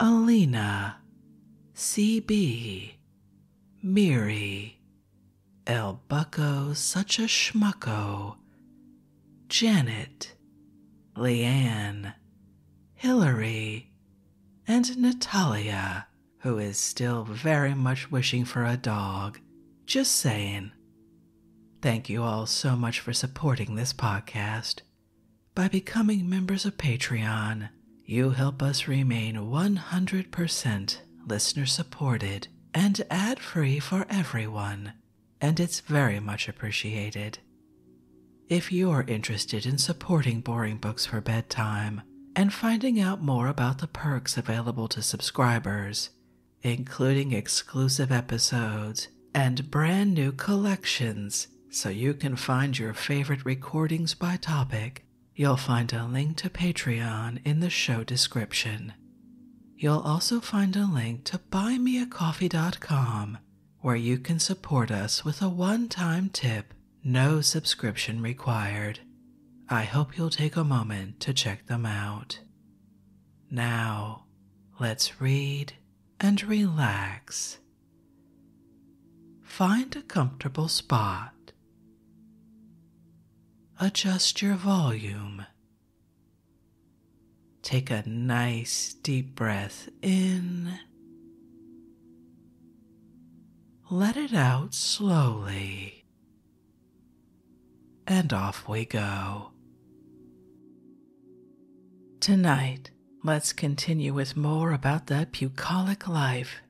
Alina, CB, Miri, El Bucko, such a schmucko, Janet, Leanne, Hillary, and Natalia, who is still very much wishing for a dog. Just saying. Thank you all so much for supporting this podcast. By becoming members of Patreon, you help us remain 100% listener supported and ad free for everyone, and it's very much appreciated. If you're interested in supporting Boring Books for Bedtime and finding out more about the perks available to subscribers, including exclusive episodes and brand new collections so you can find your favorite recordings by topic. You'll find a link to Patreon in the show description. You'll also find a link to buymeacoffee.com where you can support us with a one time tip, no subscription required. I hope you'll take a moment to check them out. Now, let's read and relax. Find a comfortable spot. Adjust your volume. Take a nice deep breath in. Let it out slowly. And off we go. Tonight, let's continue with more about that bucolic life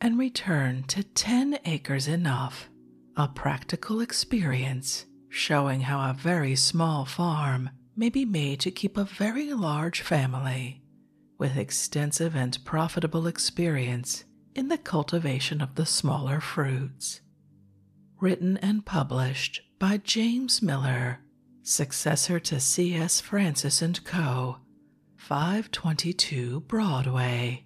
and return to 10 acres enough, a practical experience showing how a very small farm may be made to keep a very large family with extensive and profitable experience in the cultivation of the smaller fruits. Written and published by James Miller, successor to C.S. Francis and Co., 522 Broadway.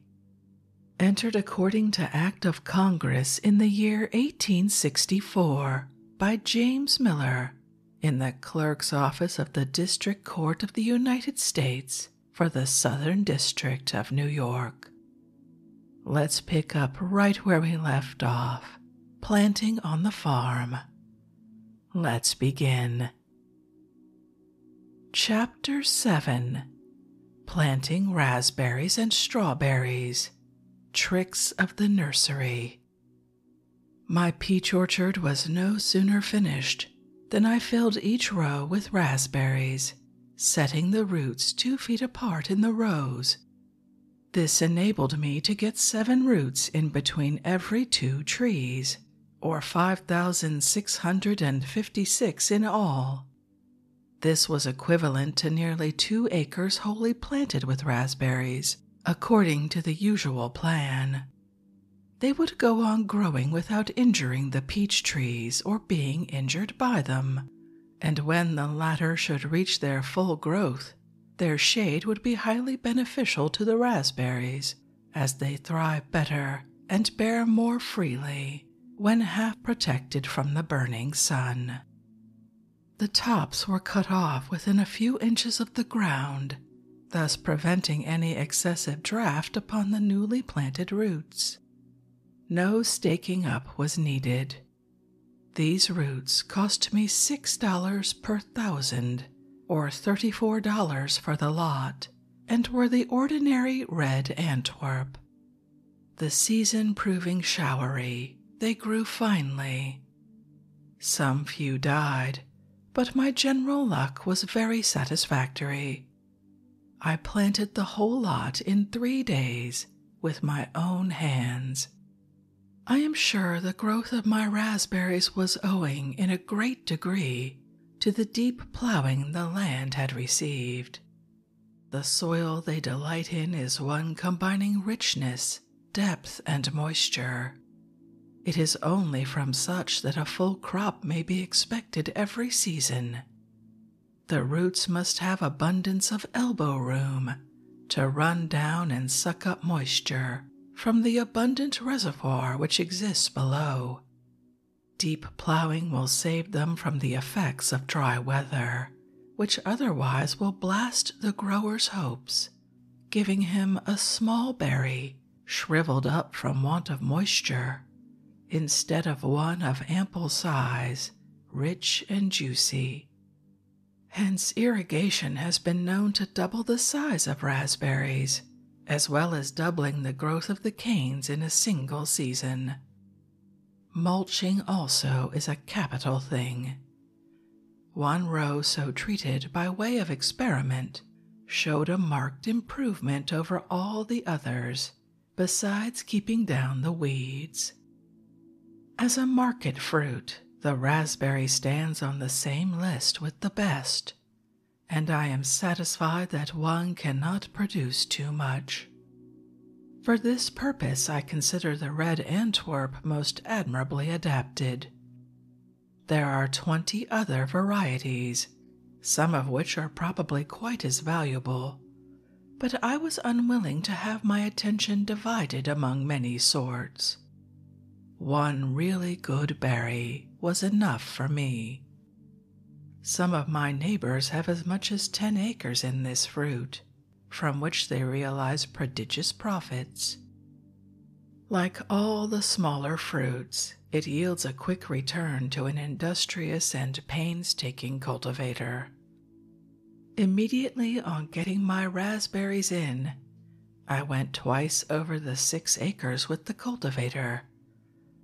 Entered according to Act of Congress in the year 1864 by James Miller in the Clerk's Office of the District Court of the United States for the Southern District of New York. Let's pick up right where we left off planting on the farm. Let's begin. Chapter 7 Planting Raspberries and Strawberries Tricks of the Nursery. My peach orchard was no sooner finished than I filled each row with raspberries, setting the roots two feet apart in the rows this enabled me to get seven roots in between every two trees, or 5,656 in all. This was equivalent to nearly two acres wholly planted with raspberries, according to the usual plan. They would go on growing without injuring the peach trees or being injured by them, and when the latter should reach their full growth, their shade would be highly beneficial to the raspberries, as they thrive better and bear more freely when half protected from the burning sun. The tops were cut off within a few inches of the ground, thus preventing any excessive draft upon the newly planted roots. No staking up was needed. These roots cost me $6 per thousand, or $34 for the lot, and were the ordinary red Antwerp. The season proving showery, they grew finely. Some few died, but my general luck was very satisfactory. I planted the whole lot in three days with my own hands, I am sure the growth of my raspberries was owing in a great degree to the deep plowing the land had received. The soil they delight in is one combining richness, depth, and moisture. It is only from such that a full crop may be expected every season. The roots must have abundance of elbow room to run down and suck up moisture from the abundant reservoir which exists below. Deep plowing will save them from the effects of dry weather, which otherwise will blast the grower's hopes, giving him a small berry shriveled up from want of moisture, instead of one of ample size, rich and juicy. Hence, irrigation has been known to double the size of raspberries, as well as doubling the growth of the canes in a single season. Mulching also is a capital thing. One row so treated by way of experiment showed a marked improvement over all the others, besides keeping down the weeds. As a market fruit, the raspberry stands on the same list with the best, and I am satisfied that one cannot produce too much. For this purpose, I consider the red Antwerp most admirably adapted. There are twenty other varieties, some of which are probably quite as valuable, but I was unwilling to have my attention divided among many sorts hearts. One really good berry was enough for me. Some of my neighbors have as much as ten acres in this fruit, from which they realize prodigious profits. Like all the smaller fruits, it yields a quick return to an industrious and painstaking cultivator Immediately on getting my raspberries in, I went twice over the six acres with the cultivator,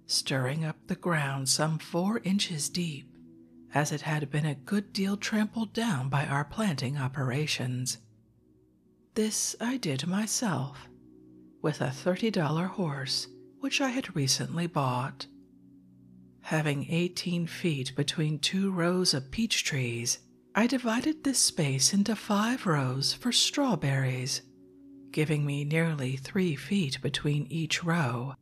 stirring up the ground some four inches deep, as it had been a good deal trampled down by our planting operations. This I did myself, with a $30 horse which I had recently bought. Having eighteen feet between two rows of peach trees, I divided this space into five rows for strawberries, giving me nearly three feet between each row.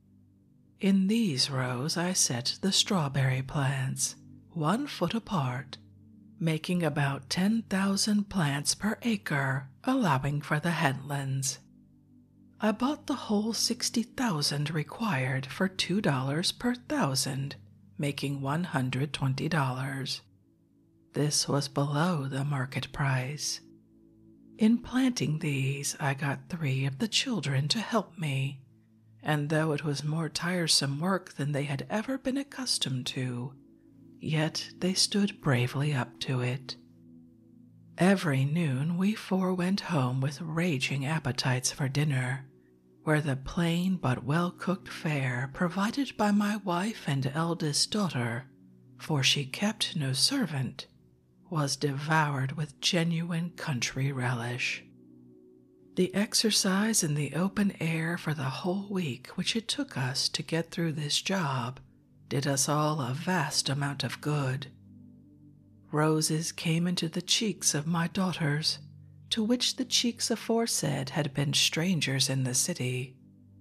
In these rows, I set the strawberry plants, one foot apart, making about 10,000 plants per acre, allowing for the headlands. I bought the whole 60,000 required for $2 per thousand making $120. This was below the market price. In planting these, I got three of the children to help me, and though it was more tiresome work than they had ever been accustomed to, yet they stood bravely up to it. Every noon we four went home with raging appetites for dinner, where the plain but well cooked fare provided by my wife and eldest daughter, for she kept no servant, was devoured with genuine country relish. The exercise in the open air for the whole week which it took us to get through this job did us all a vast amount of good. Roses came into the cheeks of my daughters, to which the cheeks aforesaid had been strangers in the city,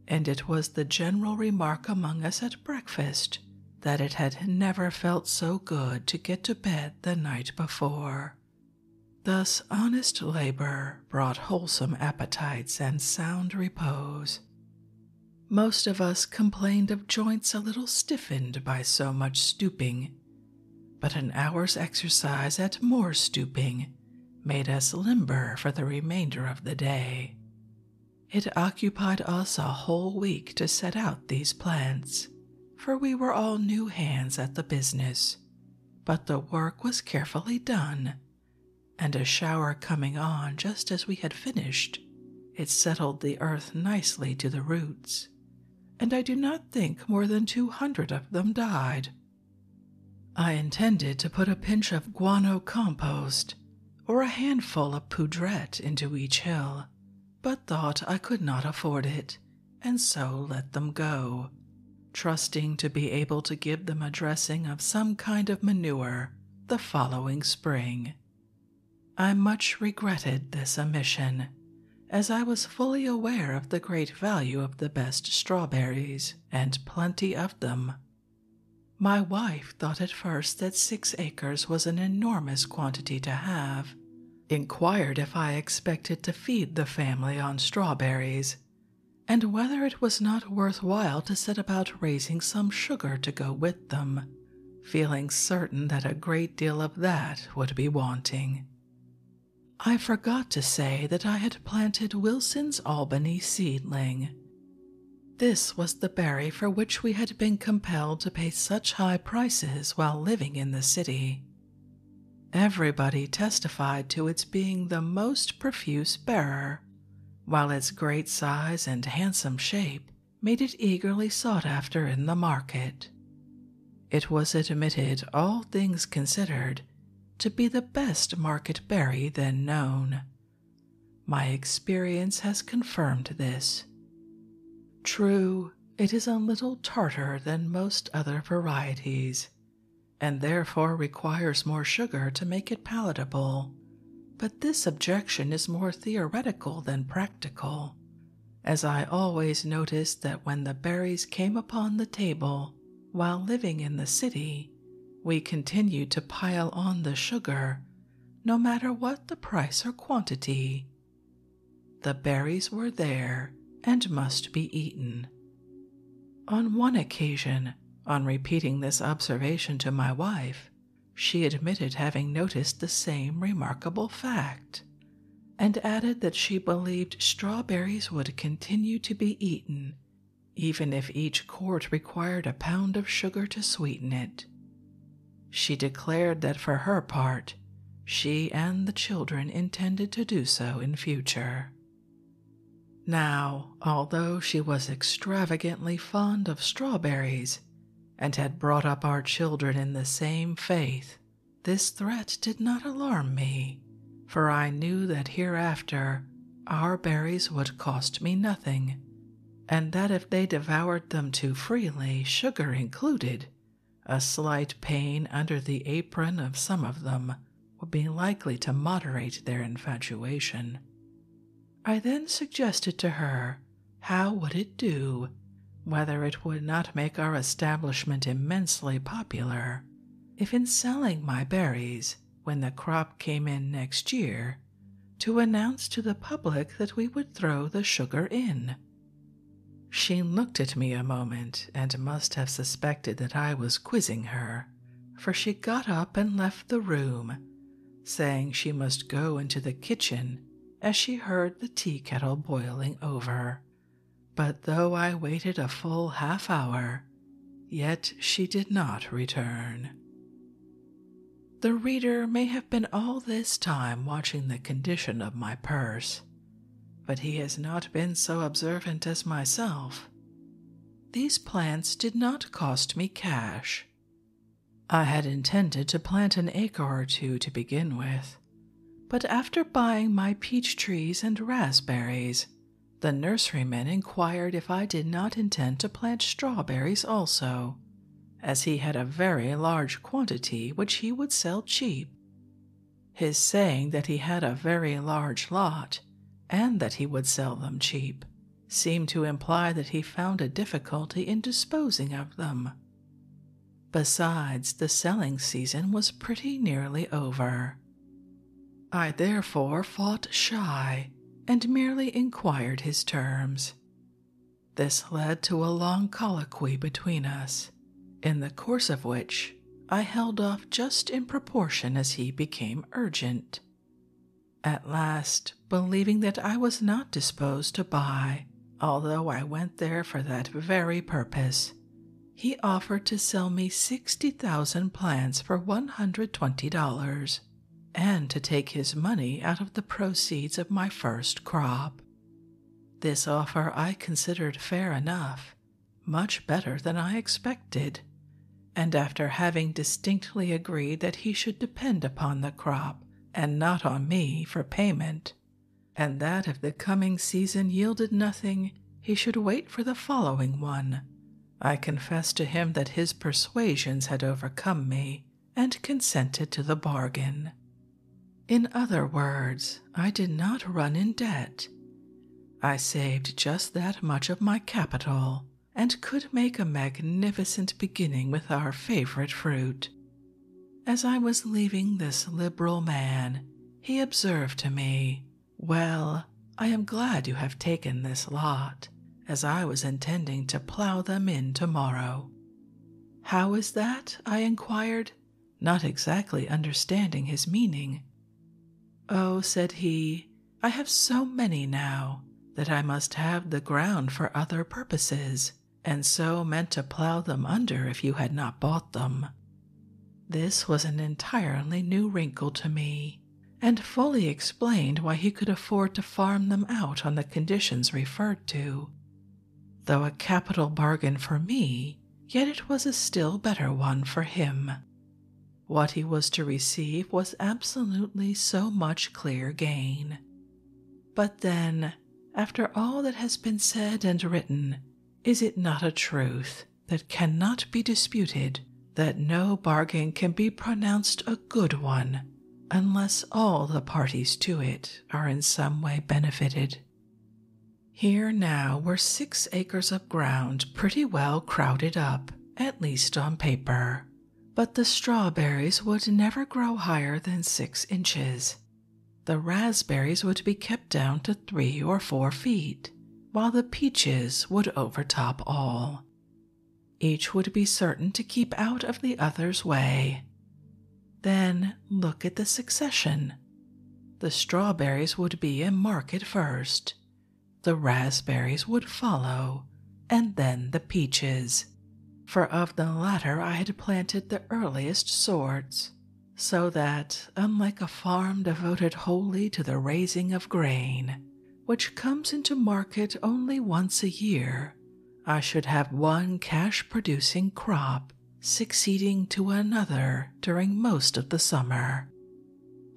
and it was the general remark among us at breakfast that it had never felt so good to get to bed the night before. Thus, honest labor brought wholesome appetites and sound repose. Most of us complained of joints a little stiffened by so much stooping but an hour's exercise at more stooping made us limber for the remainder of the day. It occupied us a whole week to set out these plants, for we were all new hands at the business, but the work was carefully done, and a shower coming on just as we had finished, it settled the earth nicely to the roots and I do not think more than 200 of them died. I intended to put a pinch of guano compost or a handful of poudrette into each hill, but thought I could not afford it, and so let them go, trusting to be able to give them a dressing of some kind of manure the following spring. I much regretted this omission as I was fully aware of the great value of the best strawberries, and plenty of them. My wife thought at first that six acres was an enormous quantity to have, inquired if I expected to feed the family on strawberries, and whether it was not worth while to set about raising some sugar to go with them, feeling certain that a great deal of that would be wanting. I forgot to say that I had planted Wilson's Albany seedling. This was the berry for which we had been compelled to pay such high prices while living in the city. Everybody testified to its being the most profuse bearer, while its great size and handsome shape made it eagerly sought after in the market. It was admitted, all things considered, to be the best market berry then known. My experience has confirmed this. True, it is a little tartar than most other varieties, and therefore requires more sugar to make it palatable, but this objection is more theoretical than practical, as I always noticed that when the berries came upon the table while living in the city, we continued to pile on the sugar, no matter what the price or quantity. The berries were there and must be eaten. On one occasion, on repeating this observation to my wife, she admitted having noticed the same remarkable fact and added that she believed strawberries would continue to be eaten even if each quart required a pound of sugar to sweeten it. She declared that for her part, she and the children intended to do so in future. Now, although she was extravagantly fond of strawberries and had brought up our children in the same faith, this threat did not alarm me, for I knew that hereafter our berries would cost me nothing, and that if they devoured them too freely, sugar included, a slight pain under the apron of some of them would be likely to moderate their infatuation. I then suggested to her how would it do whether it would not make our establishment immensely popular if, in selling my berries when the crop came in next year, to announce to the public that we would throw the sugar in. She looked at me a moment and must have suspected that I was quizzing her, for she got up and left the room, saying she must go into the kitchen as she heard the tea kettle boiling over. But though I waited a full half hour, yet she did not return. The reader may have been all this time watching the condition of my purse, but he has not been so observant as myself. These plants did not cost me cash. I had intended to plant an acre or two to begin with, but after buying my peach trees and raspberries, the nurseryman inquired if I did not intend to plant strawberries also, as he had a very large quantity which he would sell cheap. His saying that he had a very large lot and that he would sell them cheap seemed to imply that he found a difficulty in disposing of them. Besides, the selling season was pretty nearly over. I therefore fought shy and merely inquired his terms. This led to a long colloquy between us, in the course of which I held off just in proportion as he became urgent. At last, believing that I was not disposed to buy, although I went there for that very purpose, he offered to sell me 60,000 plants for $120 and to take his money out of the proceeds of my first crop. This offer I considered fair enough, much better than I expected, and after having distinctly agreed that he should depend upon the crop and not on me for payment, and that if the coming season yielded nothing, he should wait for the following one. I confessed to him that his persuasions had overcome me, and consented to the bargain. In other words, I did not run in debt. I saved just that much of my capital, and could make a magnificent beginning with our favorite fruit, as I was leaving this liberal man, he observed to me, Well, I am glad you have taken this lot, as I was intending to plough them in tomorrow. How is that? I inquired, not exactly understanding his meaning. Oh, said he, I have so many now that I must have the ground for other purposes, and so meant to plow them under if you had not bought them. This was an entirely new wrinkle to me, and fully explained why he could afford to farm them out on the conditions referred to. Though a capital bargain for me, yet it was a still better one for him. What he was to receive was absolutely so much clear gain. But then, after all that has been said and written, is it not a truth that cannot be disputed that no bargain can be pronounced a good one unless all the parties to it are in some way benefited? Here now were six acres of ground pretty well crowded up, at least on paper. But the strawberries would never grow higher than six inches, the raspberries would be kept down to three or four feet, while the peaches would overtop all. Each would be certain to keep out of the other's way. Then look at the succession. The strawberries would be in market first, the raspberries would follow, and then the peaches, for of the latter I had planted the earliest sorts, so that, unlike a farm devoted wholly to the raising of grain, which comes into market only once a year, I should have one cash producing crop succeeding to another during most of the summer.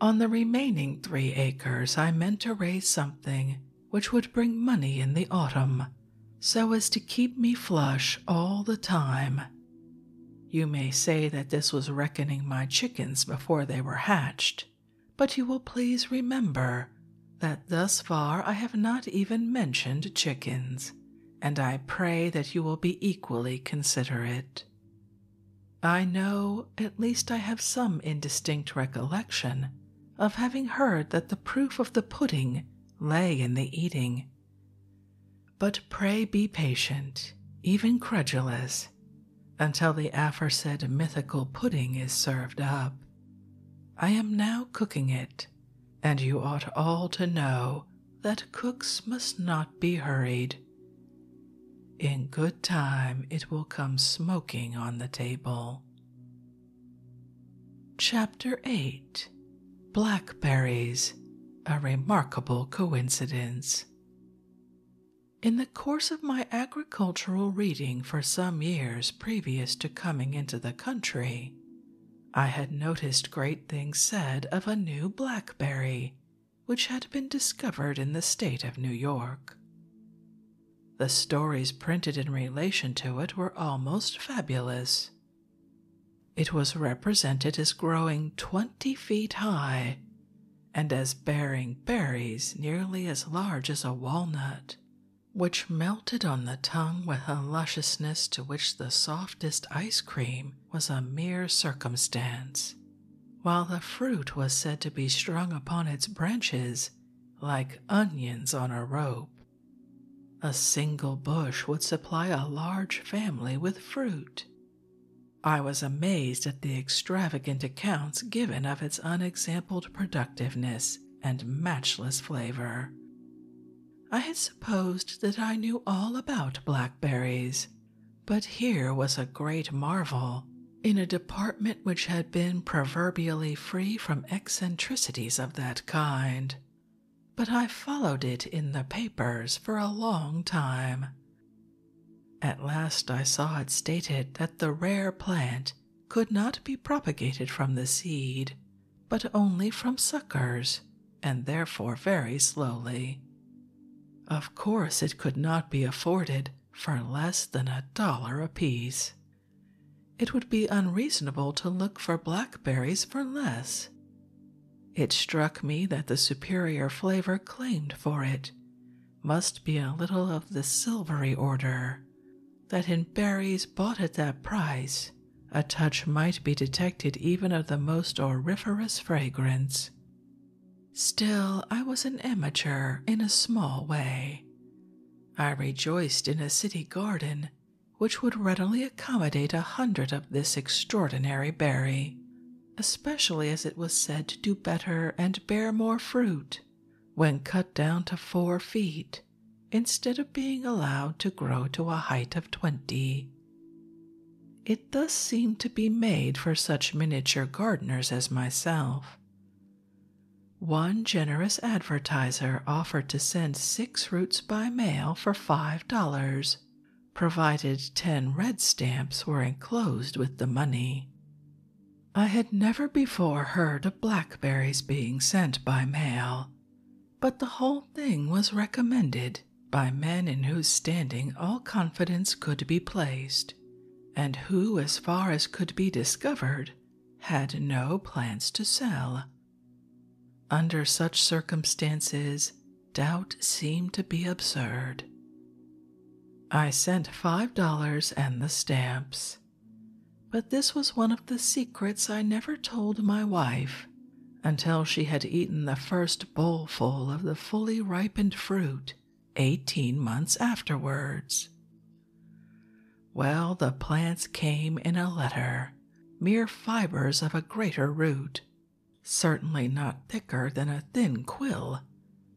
On the remaining three acres, I meant to raise something which would bring money in the autumn, so as to keep me flush all the time you may say that this was reckoning my chickens before they were hatched, but you will please remember that thus far I have not even mentioned chickens, and I pray that you will be equally considerate. I know, at least I have some indistinct recollection, of having heard that the proof of the pudding lay in the eating, but pray be patient, even credulous, until the aforesaid mythical pudding is served up. I am now cooking it, and you ought all to know that cooks must not be hurried. In good time it will come smoking on the table. Chapter 8 blackberries, a remarkable coincidence. In the course of my agricultural reading for some years previous to coming into the country, I had noticed great things said of a new blackberry which had been discovered in the state of New York. The stories printed in relation to it were almost fabulous, it was represented as growing twenty feet high and as bearing berries nearly as large as a walnut, which melted on the tongue with a lusciousness to which the softest ice cream was a mere circumstance, while the fruit was said to be strung upon its branches like onions on a rope. A single bush would supply a large family with fruit. I was amazed at the extravagant accounts given of its unexampled productiveness and matchless flavor. I had supposed that I knew all about blackberries, but here was a great marvel in a department which had been proverbially free from eccentricities of that kind but I followed it in the papers for a long time. At last I saw it stated that the rare plant could not be propagated from the seed, but only from suckers, and therefore very slowly. Of course, it could not be afforded for less than a dollar apiece. It would be unreasonable to look for blackberries for less. It struck me that the superior flavor claimed for it must be a little of the silvery order, that in berries bought at that price, a touch might be detected even of the most auriferous fragrance. Still, I was an amateur in a small way. I rejoiced in a city garden which would readily accommodate a hundred of this extraordinary berry, especially as it was said to do better and bear more fruit when cut down to four feet instead of being allowed to grow to a height of twenty. It thus seemed to be made for such miniature gardeners as myself. One generous advertiser offered to send six roots by mail for five dollars provided ten red stamps were enclosed with the money. I had never before heard of blackberries being sent by mail, but the whole thing was recommended by men in whose standing all confidence could be placed, and who, as far as could be discovered, had no plants to sell under such circumstances, doubt seemed to be absurd. I sent five dollars and the stamps. But this was one of the secrets I never told my wife until she had eaten the first bowlful of the fully ripened fruit eighteen months afterwards. Well, the plants came in a letter, mere fibers of a greater root, certainly not thicker than a thin quill,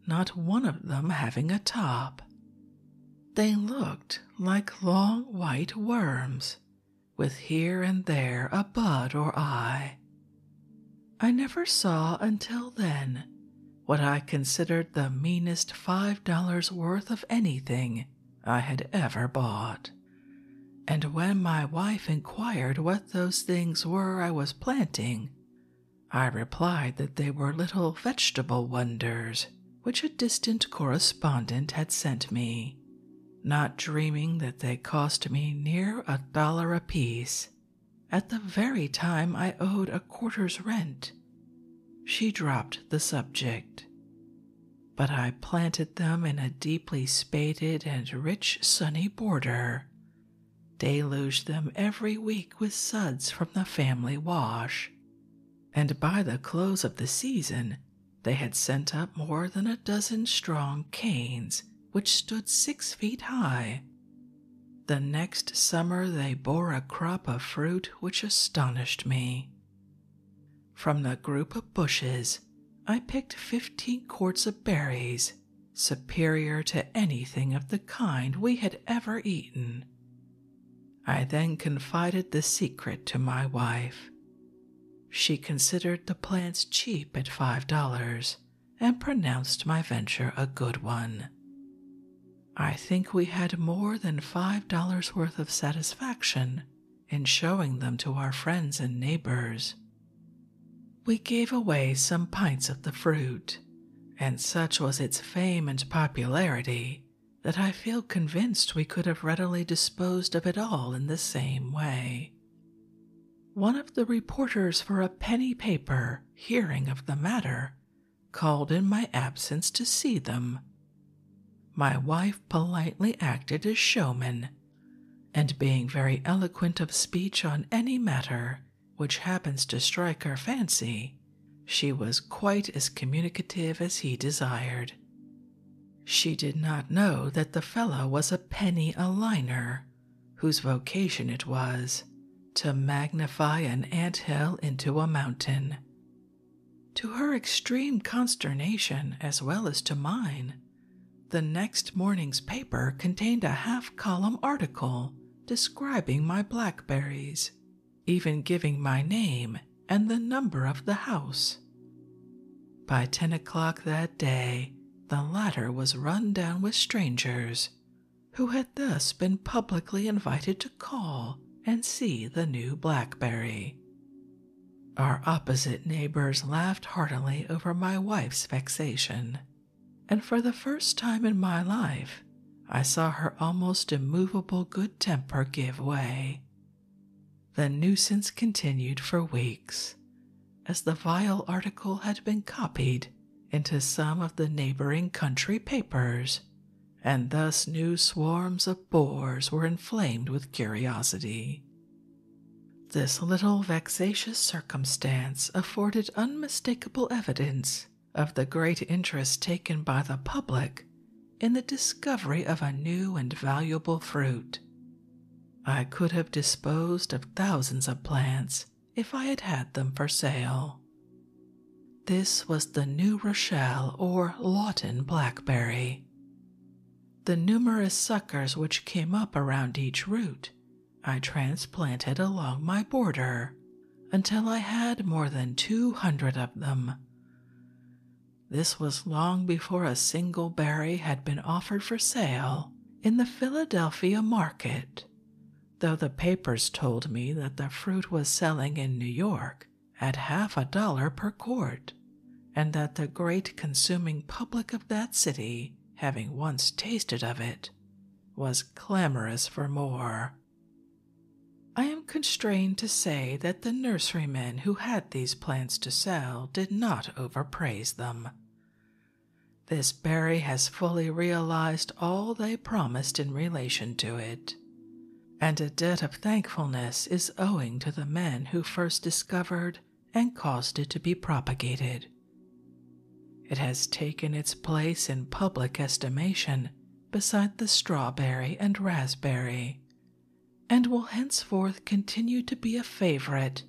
not one of them having a top. They looked like long white worms, with here and there a bud or eye. I never saw until then what I considered the meanest five dollars worth of anything I had ever bought and when my wife inquired what those things were I was planting, I replied that they were little vegetable wonders which a distant correspondent had sent me, not dreaming that they cost me near a dollar apiece at the very time I owed a quarter's rent. She dropped the subject but I planted them in a deeply spaded and rich sunny border, deluged them every week with suds from the family wash, and by the close of the season they had sent up more than a dozen strong canes which stood six feet high. The next summer they bore a crop of fruit which astonished me. From the group of bushes, I picked fifteen quarts of berries, superior to anything of the kind we had ever eaten. I then confided the secret to my wife. She considered the plants cheap at five dollars and pronounced my venture a good one. I think we had more than five dollars worth of satisfaction and showing them to our friends and neighbors. We gave away some pints of the fruit, and such was its fame and popularity that I feel convinced we could have readily disposed of it all in the same way. One of the reporters for a penny paper, hearing of the matter, called in my absence to see them. My wife politely acted as showman and being very eloquent of speech on any matter which happens to strike her fancy, she was quite as communicative as he desired. She did not know that the fellow was a penny a liner, whose vocation it was to magnify an ant hill into a mountain. To her extreme consternation, as well as to mine, the next morning's paper contained a half column article describing my blackberries, even giving my name and the number of the house. By ten o'clock that day, the ladder was run down with strangers who had thus been publicly invited to call and see the new blackberry. Our opposite neighbors laughed heartily over my wife's vexation, and for the first time in my life, I saw her almost immovable good temper give way. The nuisance continued for weeks, as the vile article had been copied into some of the neighboring country papers, and thus new swarms of boars were inflamed with curiosity. This little vexatious circumstance afforded unmistakable evidence of the great interest taken by the public in the discovery of a new and valuable fruit. I could have disposed of thousands of plants if I had had them for sale. This was the New Rochelle or Lawton blackberry. The numerous suckers which came up around each root, I transplanted along my border until I had more than 200 of them. This was long before a single berry had been offered for sale in the Philadelphia market, though the papers told me that the fruit was selling in New York at half a dollar per quart and that the great consuming public of that city, having once tasted of it, was clamorous for more. I am constrained to say that the nurserymen who had these plants to sell did not overpraise them. This berry has fully realized all they promised in relation to it, and a debt of thankfulness is owing to the men who first discovered and caused it to be propagated. It has taken its place in public estimation beside the strawberry and raspberry, and will henceforth continue to be a favorite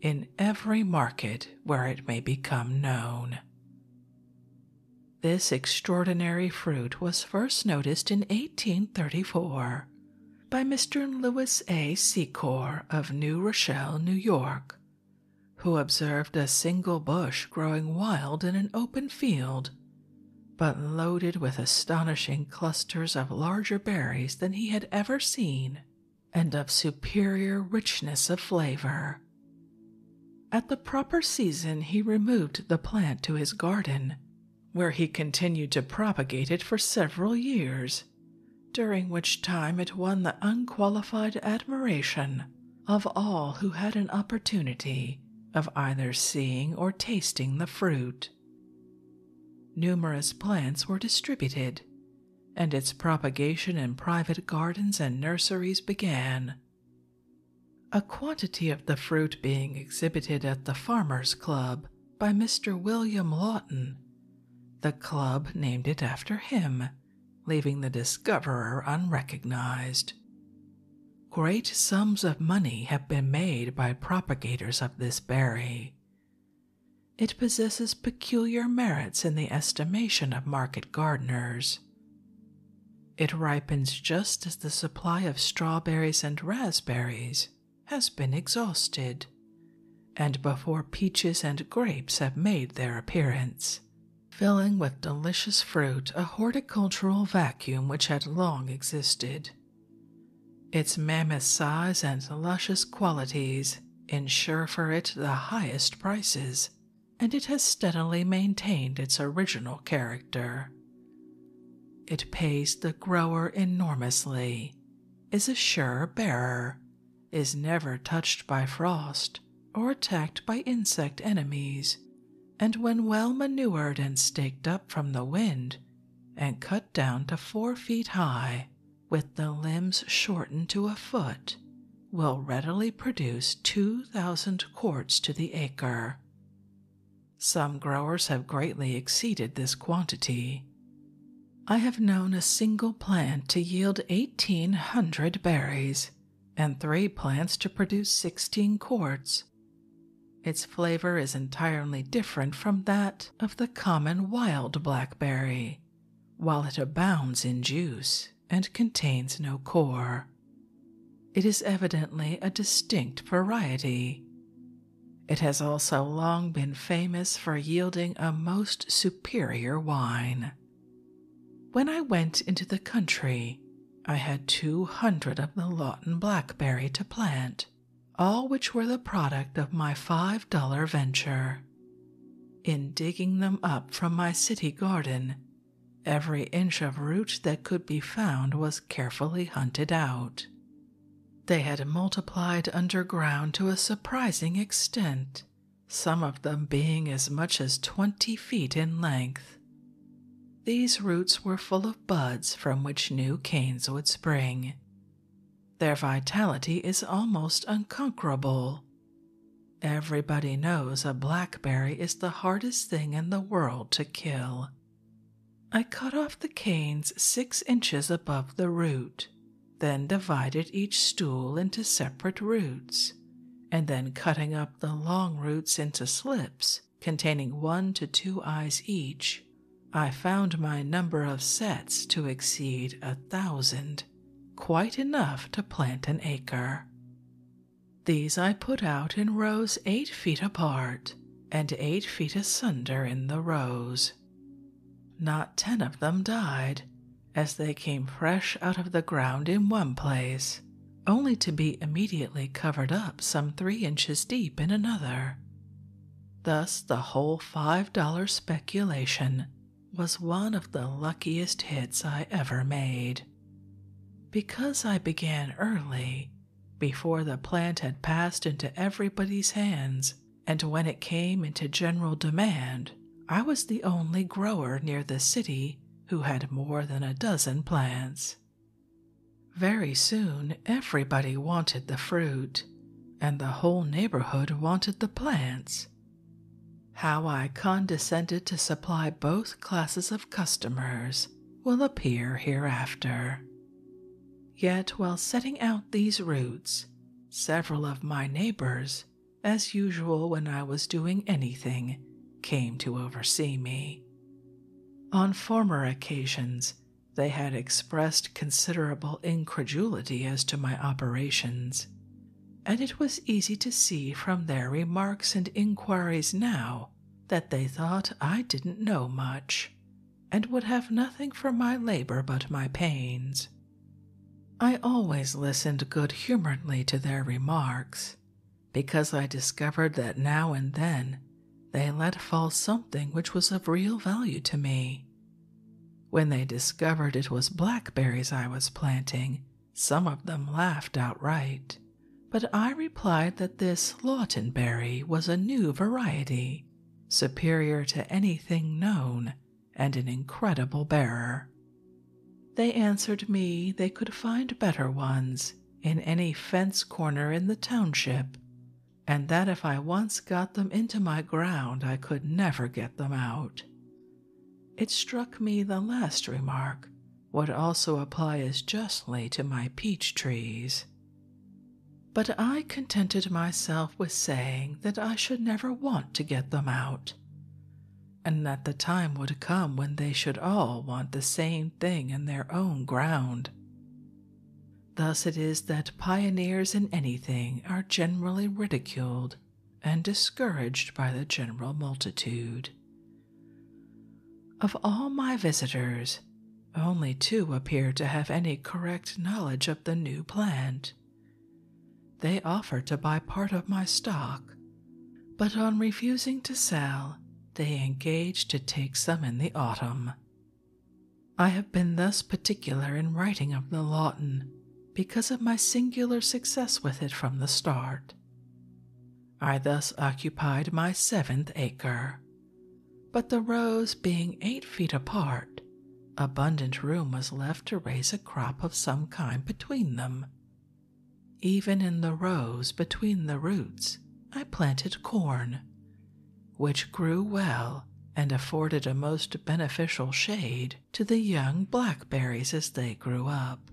in every market where it may become known. This extraordinary fruit was first noticed in 1834 by Mr. Lewis A. Secor of New Rochelle, New York, who observed a single bush growing wild in an open field, but loaded with astonishing clusters of larger berries than he had ever seen and of superior richness of flavor. At the proper season, he removed the plant to his garden where he continued to propagate it for several years, during which time it won the unqualified admiration of all who had an opportunity of either seeing or tasting the fruit. Numerous plants were distributed, and its propagation in private gardens and nurseries began. A quantity of the fruit being exhibited at the Farmers' Club by Mr. William Lawton. The club named it after him, leaving the discoverer unrecognized. Great sums of money have been made by propagators of this berry. It possesses peculiar merits in the estimation of market gardeners. It ripens just as the supply of strawberries and raspberries has been exhausted, and before peaches and grapes have made their appearance, filling with delicious fruit a horticultural vacuum which had long existed. Its mammoth size and luscious qualities insure for it the highest prices, and it has steadily maintained its original character. It pays the grower enormously is a sure bearer, is never touched by frost or attacked by insect enemies, and when well manured and staked up from the wind and cut down to four feet high, with the limbs shortened to a foot, will readily produce 2,000 quarts to the acre. Some growers have greatly exceeded this quantity. I have known a single plant to yield 1,800 berries and three plants to produce 16 quarts. Its flavor is entirely different from that of the common wild blackberry, while it abounds in juice and contains no core. It is evidently a distinct variety. It has also long been famous for yielding a most superior wine. When I went into the country, I had two hundred of the Lawton blackberry to plant, all which were the product of my five dollar venture. In digging them up from my city garden, every inch of root that could be found was carefully hunted out, they had multiplied underground to a surprising extent, some of them being as much as twenty feet in length. These roots were full of buds from which new canes would spring. Their vitality is almost unconquerable. Everybody knows a blackberry is the hardest thing in the world to kill. I cut off the canes six inches above the root, then divided each stool into separate roots, and then cutting up the long roots into slips containing one to two eyes each, I found my number of sets to exceed a thousand, quite enough to plant an acre. These I put out in rows eight feet apart and eight feet asunder in the rows. Not ten of them died, as they came fresh out of the ground in one place, only to be immediately covered up some three inches deep in another. Thus, the whole five dollar speculation was one of the luckiest hits I ever made. Because I began early, before the plant had passed into everybody's hands, and when it came into general demand, I was the only grower near the city who had more than a dozen plants. Very soon, everybody wanted the fruit, and the whole neighborhood wanted the plants. How I condescended to supply both classes of customers will appear hereafter. Yet, while setting out these routes, several of my neighbors, as usual when I was doing anything, came to oversee me. On former occasions, they had expressed considerable incredulity as to my operations, and it was easy to see from their remarks and inquiries now that they thought I didn't know much, and would have nothing for my labor but my pains. I always listened good humoredly to their remarks, because I discovered that now and then they let fall something which was of real value to me. When they discovered it was blackberries I was planting, some of them laughed outright, but I replied that this Lawtonberry was a new variety superior to anything known and an incredible bearer. They answered me they could find better ones in any fence corner in the township, and that if I once got them into my ground, I could never get them out. It struck me the last remark would also apply as justly to my peach trees. But I contented myself with saying that I should never want to get them out, and that the time would come when they should all want the same thing in their own ground. Thus it is that pioneers in anything are generally ridiculed and discouraged by the general multitude. Of all my visitors, only two appear to have any correct knowledge of the new plant. They offered to buy part of my stock, but on refusing to sell, they engaged to take some in the autumn. I have been thus particular in writing of the Lawton because of my singular success with it from the start. I thus occupied my seventh acre. But the rows being eight feet apart, abundant room was left to raise a crop of some kind between them. Even in the rows between the roots, I planted corn, which grew well and afforded a most beneficial shade to the young blackberries as they grew up.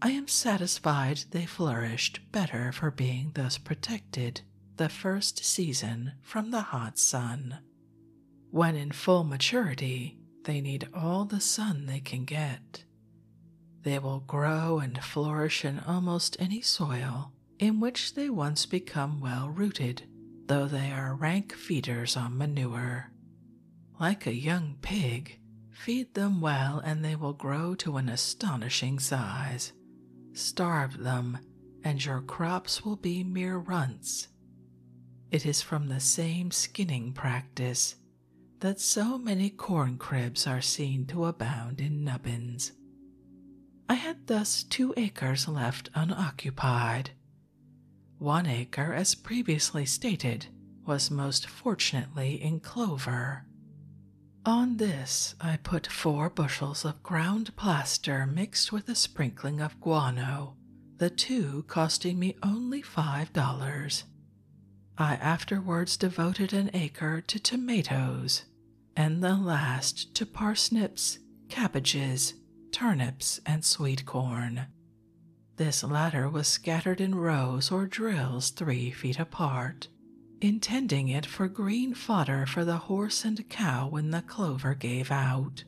I am satisfied they flourished better for being thus protected the first season from the hot sun. When in full maturity, they need all the sun they can get. They will grow and flourish in almost any soil in which they once become well rooted, though they are rank feeders on manure. Like a young pig, feed them well and they will grow to an astonishing size starve them, and your crops will be mere runts. It is from the same skinning practice that so many corn cribs are seen to abound in nubbins. I had thus two acres left unoccupied. One acre, as previously stated, was most fortunately in clover. On this I put four bushels of ground plaster mixed with a sprinkling of guano, the two costing me only five dollars. I afterwards devoted an acre to tomatoes, and the last to parsnips, cabbages, turnips, and sweet corn. This latter was scattered in rows or drills three feet apart, intending it for green fodder for the horse and cow when the clover gave out.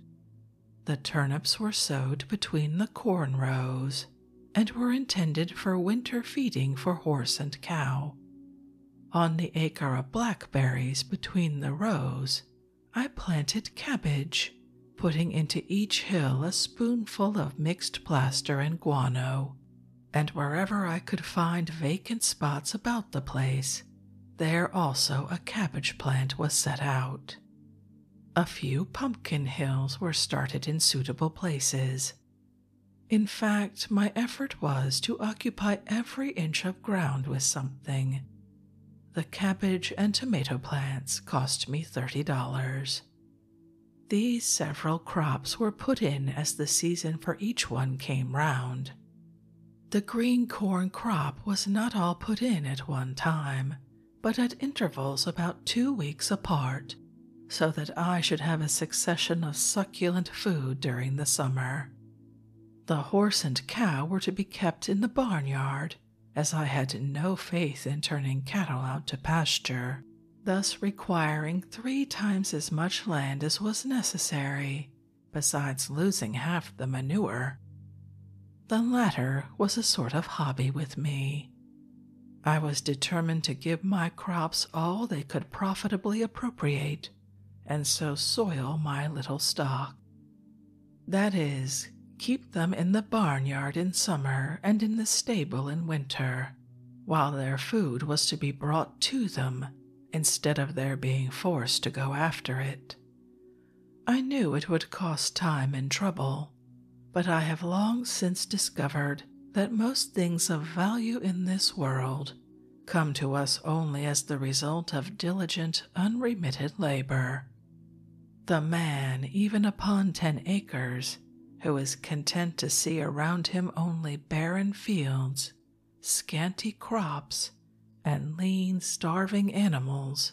The turnips were sowed between the corn rows and were intended for winter feeding for horse and cow. On the acre of blackberries between the rows, I planted cabbage, putting into each hill a spoonful of mixed plaster and guano, and wherever I could find vacant spots about the place, there also a cabbage plant was set out. A few pumpkin hills were started in suitable places. In fact, my effort was to occupy every inch of ground with something. The cabbage and tomato plants cost me $30. These several crops were put in as the season for each one came round. The green corn crop was not all put in at one time, but at intervals about two weeks apart, so that I should have a succession of succulent food during the summer. The horse and cow were to be kept in the barnyard, as I had no faith in turning cattle out to pasture, thus requiring three times as much land as was necessary besides losing half the manure. The latter was a sort of hobby with me. I was determined to give my crops all they could profitably appropriate and so soil my little stock. That is, keep them in the barnyard in summer and in the stable in winter, while their food was to be brought to them instead of their being forced to go after it. I knew it would cost time and trouble, but I have long since discovered that most things of value in this world come to us only as the result of diligent, unremitted labor. The man, even upon ten acres, who is content to see around him only barren fields scanty crops, and lean, starving animals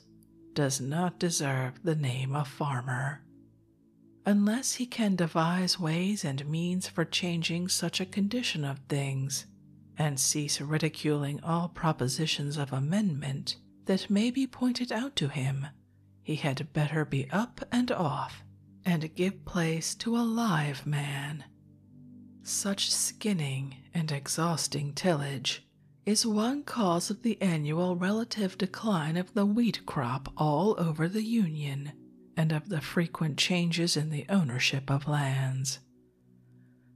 does not deserve the name of farmer. Unless he can devise ways and means for changing such a condition of things, and cease ridiculing all propositions of amendment that may be pointed out to him, he had better be up and off and give place to a live man such skinning and exhausting tillage is one cause of the annual relative decline of the wheat crop all over the Union and of the frequent changes in the ownership of lands.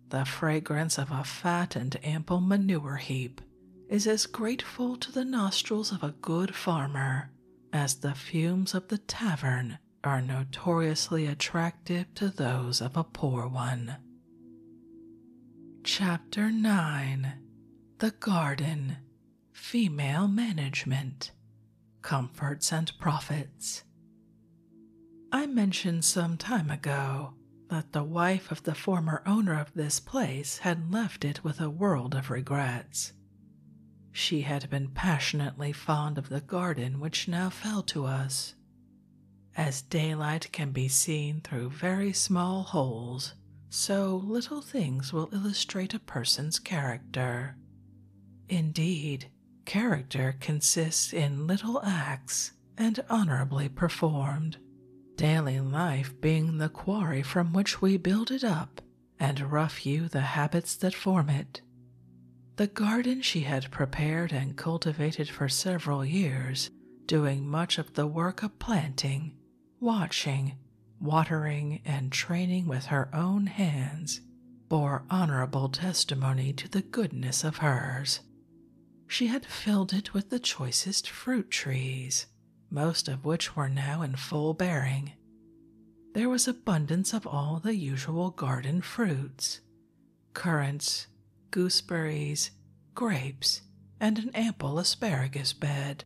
The fragrance of a fat and ample manure heap is as grateful to the nostrils of a good farmer as the fumes of the tavern are notoriously attractive to those of a poor one. Chapter 9 The Garden Female Management Comforts and Profits. I mentioned some time ago that the wife of the former owner of this place had left it with a world of regrets. She had been passionately fond of the garden which now fell to us, as daylight can be seen through very small holes, so little things will illustrate a person's character. Indeed, character consists in little acts and honorably performed, daily life being the quarry from which we build it up, and rough you the habits that form it. The garden she had prepared and cultivated for several years, doing much of the work of planting, watching, watering, and training with her own hands, bore honorable testimony to the goodness of hers. She had filled it with the choicest fruit trees, most of which were now in full bearing. There was abundance of all the usual garden fruits, currants, gooseberries, grapes, and an ample asparagus bed.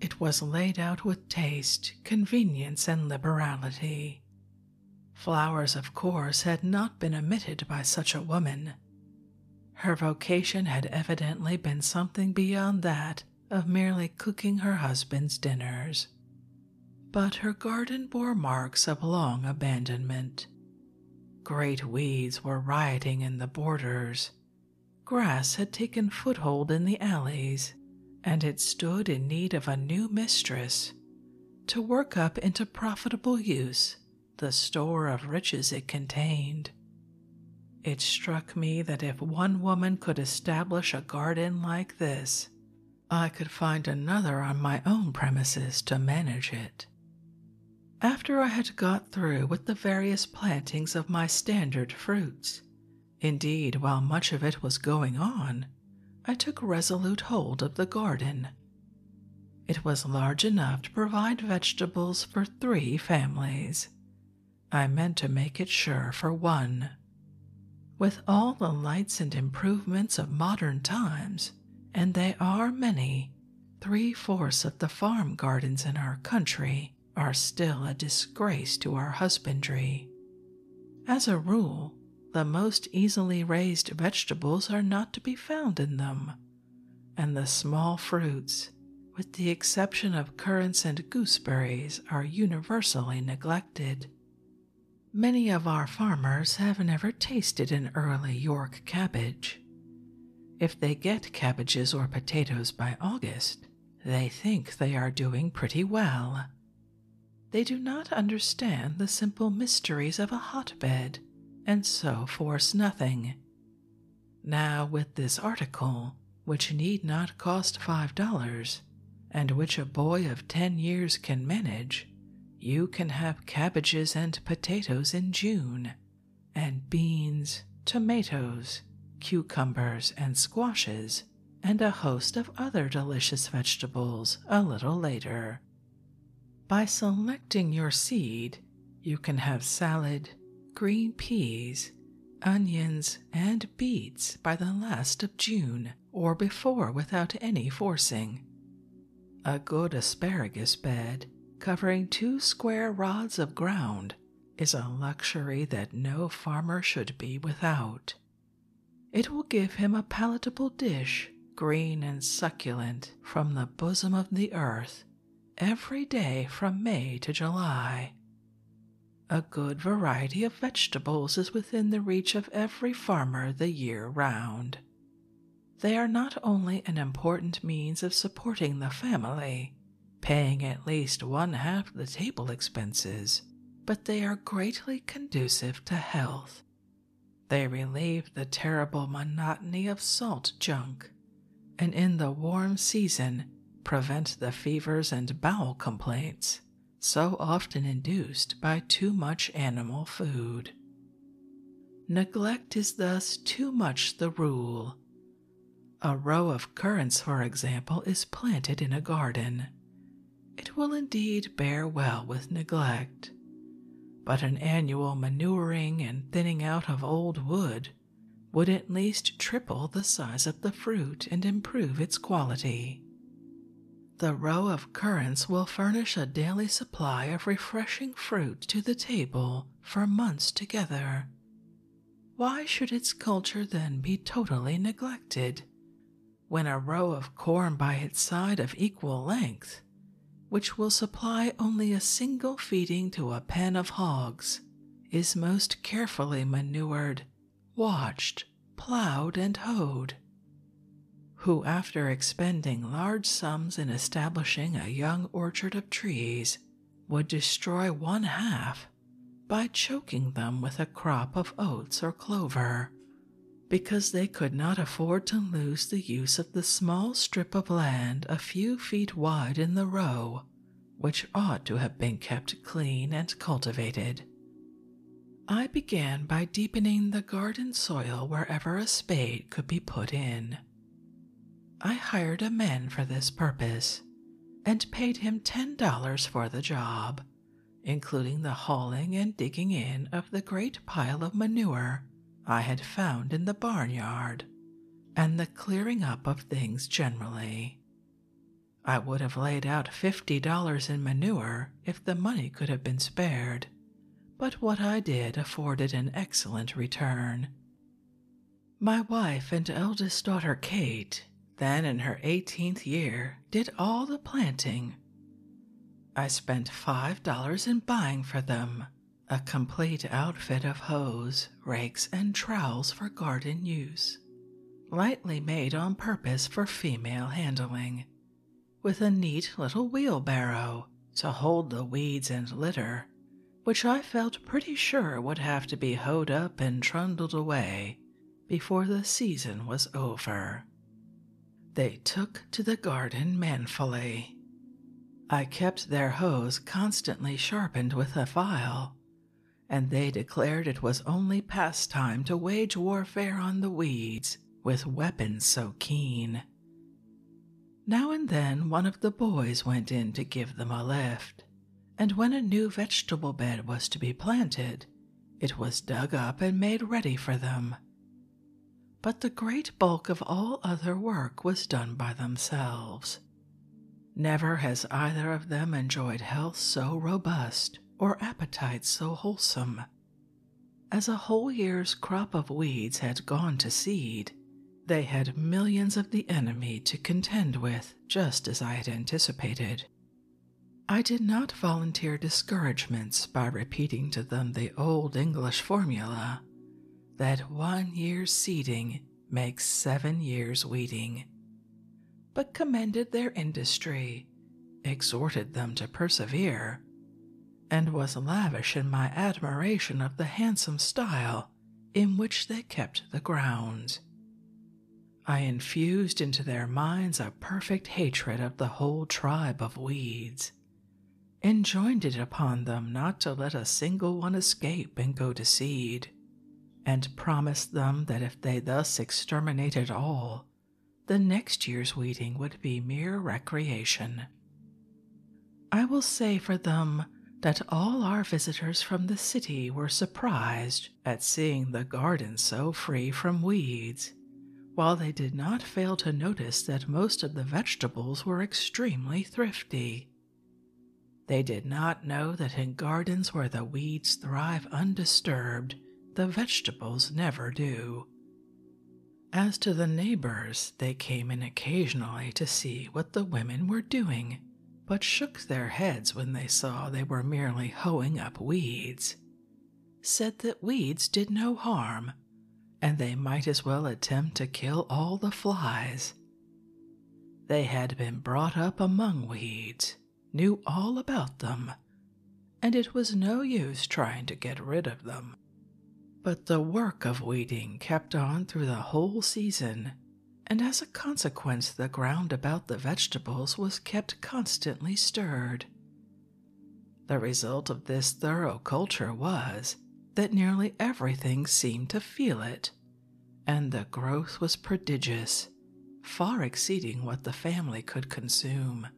It was laid out with taste, convenience, and liberality. Flowers, of course, had not been omitted by such a woman. Her vocation had evidently been something beyond that of merely cooking her husband's dinners but her garden bore marks of long abandonment. Great weeds were rioting in the borders. Grass had taken foothold in the alleys, and it stood in need of a new mistress to work up into profitable use the store of riches it contained. It struck me that if one woman could establish a garden like this, I could find another on my own premises to manage it. After I had got through with the various plantings of my standard fruits, indeed, while much of it was going on, I took resolute hold of the garden. It was large enough to provide vegetables for three families. I meant to make it sure for one with all the lights and improvements of modern times, and they are many, three fourths of the farm gardens in our country are still a disgrace to our husbandry. As a rule, the most easily raised vegetables are not to be found in them, and the small fruits, with the exception of currants and gooseberries, are universally neglected, Many of our farmers have never tasted an early York cabbage. If they get cabbages or potatoes by August, they think they are doing pretty well. They do not understand the simple mysteries of a hotbed, and so force nothing. Now, with this article, which need not cost five dollars, and which a boy of ten years can manage, you can have cabbages and potatoes in June, and beans, tomatoes, cucumbers, and squashes, and a host of other delicious vegetables a little later. By selecting your seed, you can have salad, green peas, onions, and beets by the last of June, or before without any forcing. A good asparagus bed, covering two square rods of ground, is a luxury that no farmer should be without. It will give him a palatable dish, green and succulent, from the bosom of the earth, every day from May to July. A good variety of vegetables is within the reach of every every farmer the year round. They are not only an important means of supporting the family, paying at least one half the table expenses, but they are greatly conducive to health. They relieve the terrible monotony of salt junk, and in the warm season prevent the fevers and bowel complaints so often induced by too much animal food. Neglect is thus too much the rule. A row of currants, for example, is planted in a garden. It will indeed bear well with neglect, but an annual manuring and thinning out of old wood would at least triple the size of the fruit and improve its quality. The row of currants will furnish a daily supply of refreshing fruit to the table for months together. Why should its culture then be totally neglected? When a row of corn by its side of equal length, which will supply only a single feeding to a pen of hogs, is most carefully manured, watched, plowed and hoed, who, after expending large sums in establishing a young orchard of trees, would destroy one half by choking them with a crop of oats or clover, because they could not afford to lose the use of the small strip of land a few feet wide in the row, which ought to have been kept clean and cultivated. I began by deepening the garden soil wherever a spade could be put in. I hired a man for this purpose and paid him $10 for the job, including the hauling and digging in of the great pile of manure I had found in the barnyard and the clearing up of things generally. I would have laid out $50 in manure if the money could have been spared, but what I did afforded an excellent return. My wife and eldest daughter Kate, then in her eighteenth year, did all the planting. I spent five dollars in buying for them a complete outfit of hoes, rakes, and trowels for garden use, lightly made on purpose for female handling, with a neat little wheelbarrow to hold the weeds and litter, which I felt pretty sure would have to be hoed up and trundled away before the season was over. They took to the garden manfully. I kept their hoes constantly sharpened with a file, and they declared it was only pastime to wage warfare on the weeds with weapons so keen. Now and then one of the boys went in to give them a lift, and when a new vegetable bed was to be planted, it was dug up and made ready for them. But the great bulk of all other work was done by themselves. Never has either of them enjoyed health so robust or appetite so wholesome as a whole year's crop of weeds had gone to seed, they had millions of the enemy to contend with, just as I had anticipated. I did not volunteer discouragements by repeating to them the old English formula that one year's seeding makes seven years weeding, but commended their industry exhorted them to persevere, and was lavish in my admiration of the handsome style in which they kept the grounds. I infused into their minds a perfect hatred of the whole tribe of weeds, enjoined it upon them not to let a single one escape and go to seed, and promised them that if they thus exterminated all, the next year's weeding would be mere recreation. I will say for them that all our visitors from the city were surprised at seeing the garden so free from weeds, while they did not fail to notice that most of the vegetables were extremely thrifty. They did not know that in gardens where the weeds thrive undisturbed, the vegetables never do. As to the neighbors, they came in occasionally to see what the women were doing, but shook their heads when they saw they were merely hoeing up weeds. Said that weeds did no harm, and they might as well attempt to kill all the flies. They had been brought up among weeds, knew all about them, and it was no use trying to get rid of them. But the work of weeding kept on through the whole season, and as a consequence, the ground about the vegetables was kept constantly stirred. The result of this thorough culture was that nearly everything seemed to feel it, and the growth was prodigious, far exceeding what the family could consume.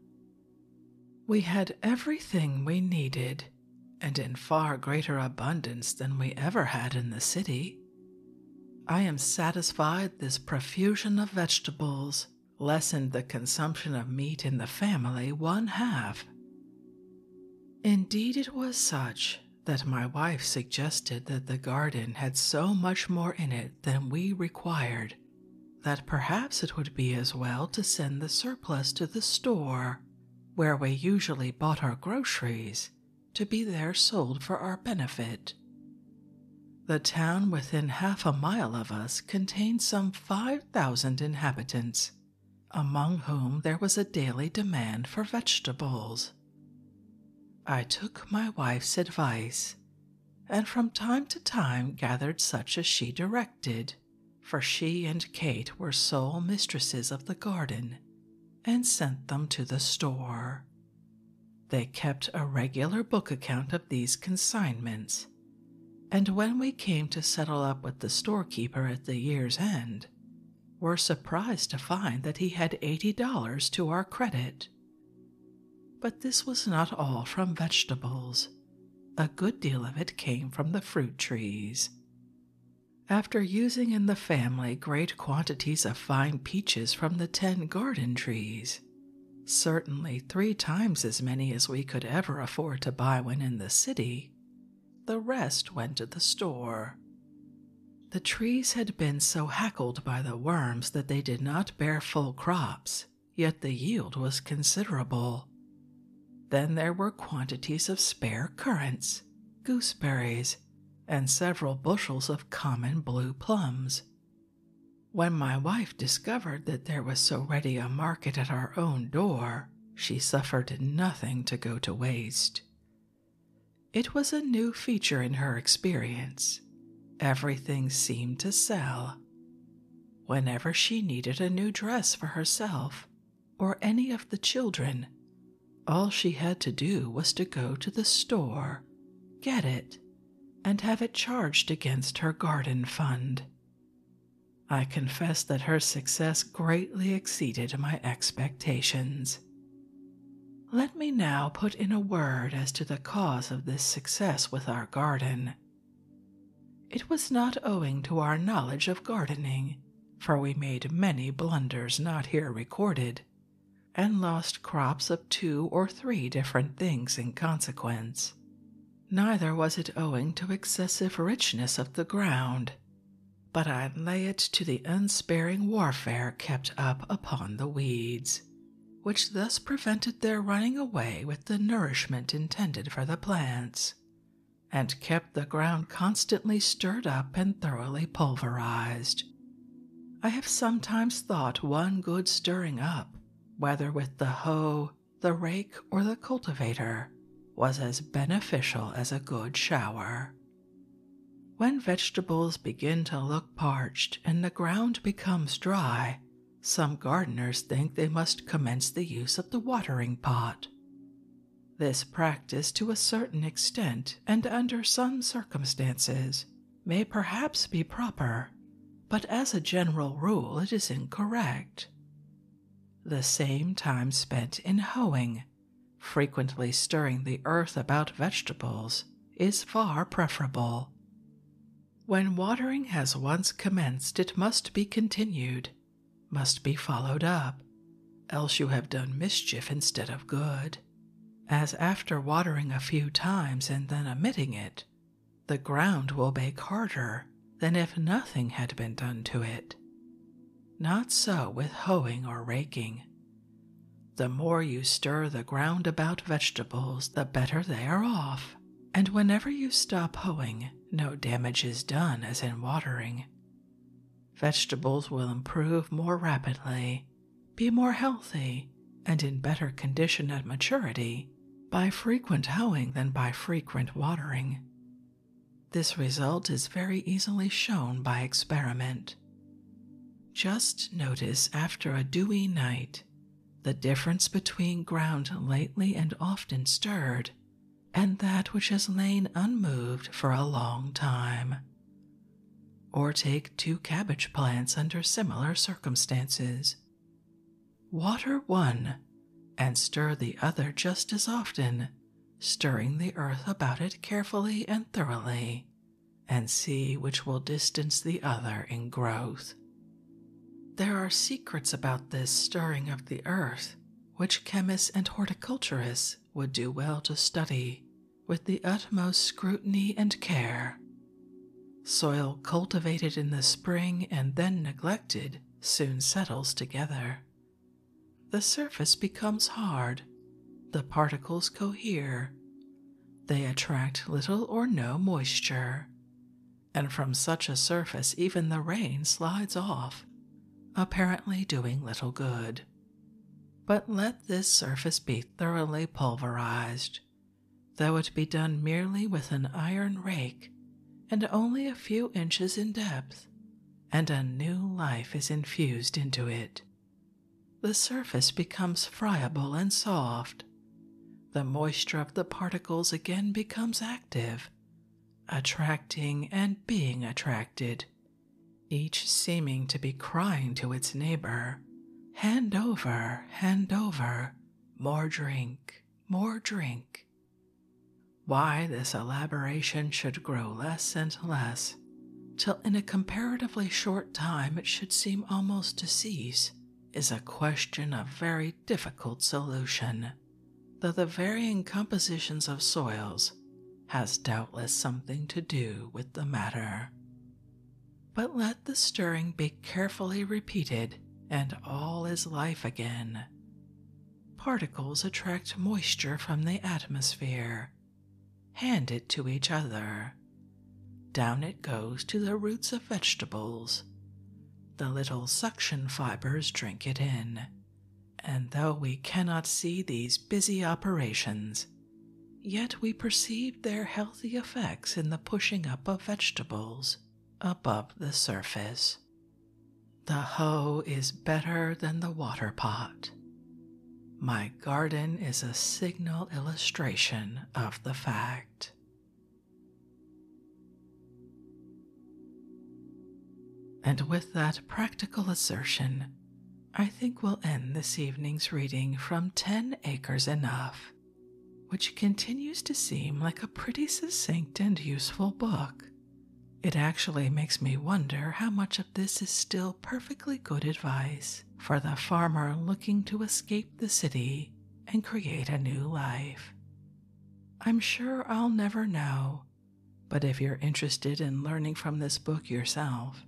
We had everything we needed, and in far greater abundance than we ever had in the city. I am satisfied this profusion of vegetables lessened the consumption of meat in the family one half. Indeed, it was such that my wife suggested that the garden had so much more in it than we required that perhaps it would be as well to send the surplus to the store where we usually bought our groceries to be there sold for our benefit. The town within half a mile of us contained some 5,000 inhabitants, among whom there was a daily demand for vegetables. I took my wife's advice and from time to time gathered such as she directed, for she and Kate were sole mistresses of the garden, and sent them to the store. They kept a regular book account of these consignments, and when we came to settle up with the storekeeper at the year's end, were surprised to find that he had eighty dollars to our credit. But this was not all from vegetables. A good deal of it came from the fruit trees. After using in the family great quantities of fine peaches from the ten garden trees, certainly three times as many as we could ever afford to buy when in the city, the rest went to the store. The trees had been so hackled by the worms that they did not bear full crops, yet the yield was considerable. Then there were quantities of spare currants, gooseberries, and several bushels of common blue plums. When my wife discovered that there was so ready a market at our own door, she suffered nothing to go to waste. It was a new feature in her experience. Everything seemed to sell, Whenever she needed a new dress for herself or any of the children, all she had to do was to go to the store, get it, and have it charged against her garden fund. I confess that her success greatly exceeded my expectations. Let me now put in a word as to the cause of this success with our garden. It was not owing to our knowledge of gardening, for we made many blunders not here recorded, and lost crops of two or three different things in consequence. Neither was it owing to excessive richness of the ground, but I lay it to the unsparing warfare kept up upon the weeds, which thus prevented their running away with the nourishment intended for the plants, and kept the ground constantly stirred up and thoroughly pulverized. I have sometimes thought one good stirring up, whether with the hoe, the rake, or the cultivator, was as beneficial as a good shower. When vegetables begin to look parched and the ground becomes dry, some gardeners think they must commence the use of the watering pot. This practice, to a certain extent and under some circumstances, may perhaps be proper, but as a general rule it is incorrect. The same time spent in hoeing, frequently stirring the earth about vegetables, is far preferable. When watering has once commenced, it must be continued, must be followed up, else you have done mischief instead of good. As after watering a few times and then omitting it, the ground will bake harder than if nothing had been done to it. Not so with hoeing or raking. The more you stir the ground about vegetables, the better they are off, and whenever you stop hoeing, no damage is done as in watering. Vegetables will improve more rapidly, be more healthy, and in better condition at maturity by frequent hoeing than by frequent watering. This result is very easily shown by experiment. Just notice after a dewy night the difference between ground lately and often stirred, and that which has lain unmoved for a long time. Or take two cabbage plants under similar circumstances. Water one and stir the other just as often, stirring the earth about it carefully and thoroughly, and see which will distance the other in growth. There are secrets about this stirring of the earth, which chemists and horticulturists would do well to study with the utmost scrutiny and care. Soil cultivated in the spring and then neglected soon settles together. The surface becomes hard, the particles cohere. They attract little or no moisture and from such a surface even the rain slides off, apparently doing little good. But let this surface be thoroughly pulverized, though it be done merely with an iron rake and only a few inches in depth, and a new life is infused into it. The surface becomes friable and soft, the moisture of the particles again becomes active, attracting and being attracted, each seeming to be crying to its neighbor, Hand over, hand over, more drink, more drink. Why this elaboration should grow less and less, till in a comparatively short time it should seem almost to cease is a question of very difficult solution, though the varying compositions of soils has doubtless something to do with the matter. But let the stirring be carefully repeated, and all is life again. Particles attract moisture from the atmosphere, hand it to each other. Down it goes to the roots of vegetables, the little suction fibers drink it in. And though we cannot see these busy operations, yet we perceive their healthy effects in the pushing up of vegetables above the surface. The hoe is better than the water pot. My garden is a signal illustration of the fact. And with that practical assertion, I think we'll end this evening's reading from 10 Acres Enough, which continues to seem like a pretty succinct and useful book. It actually makes me wonder how much of this is still perfectly good advice for the farmer looking to escape the city and create a new life. I'm sure I'll never know, but if you're interested in learning from this book yourself,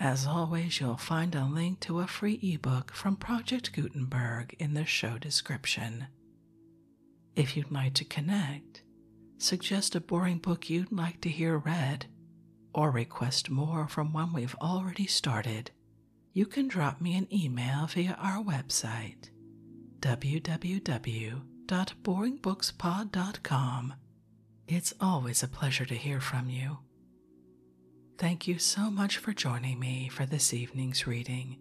as always, you'll find a link to a free ebook from Project Gutenberg in the show description. If you'd like to connect, suggest a boring book you'd like to hear read, or request more from one we've already started, you can drop me an email via our website www.boringbookspod.com. It's always a pleasure to hear from you. Thank you so much for joining me for this evening's reading.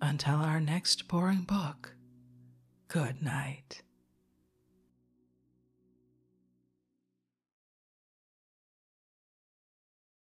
Until our next boring book, good night.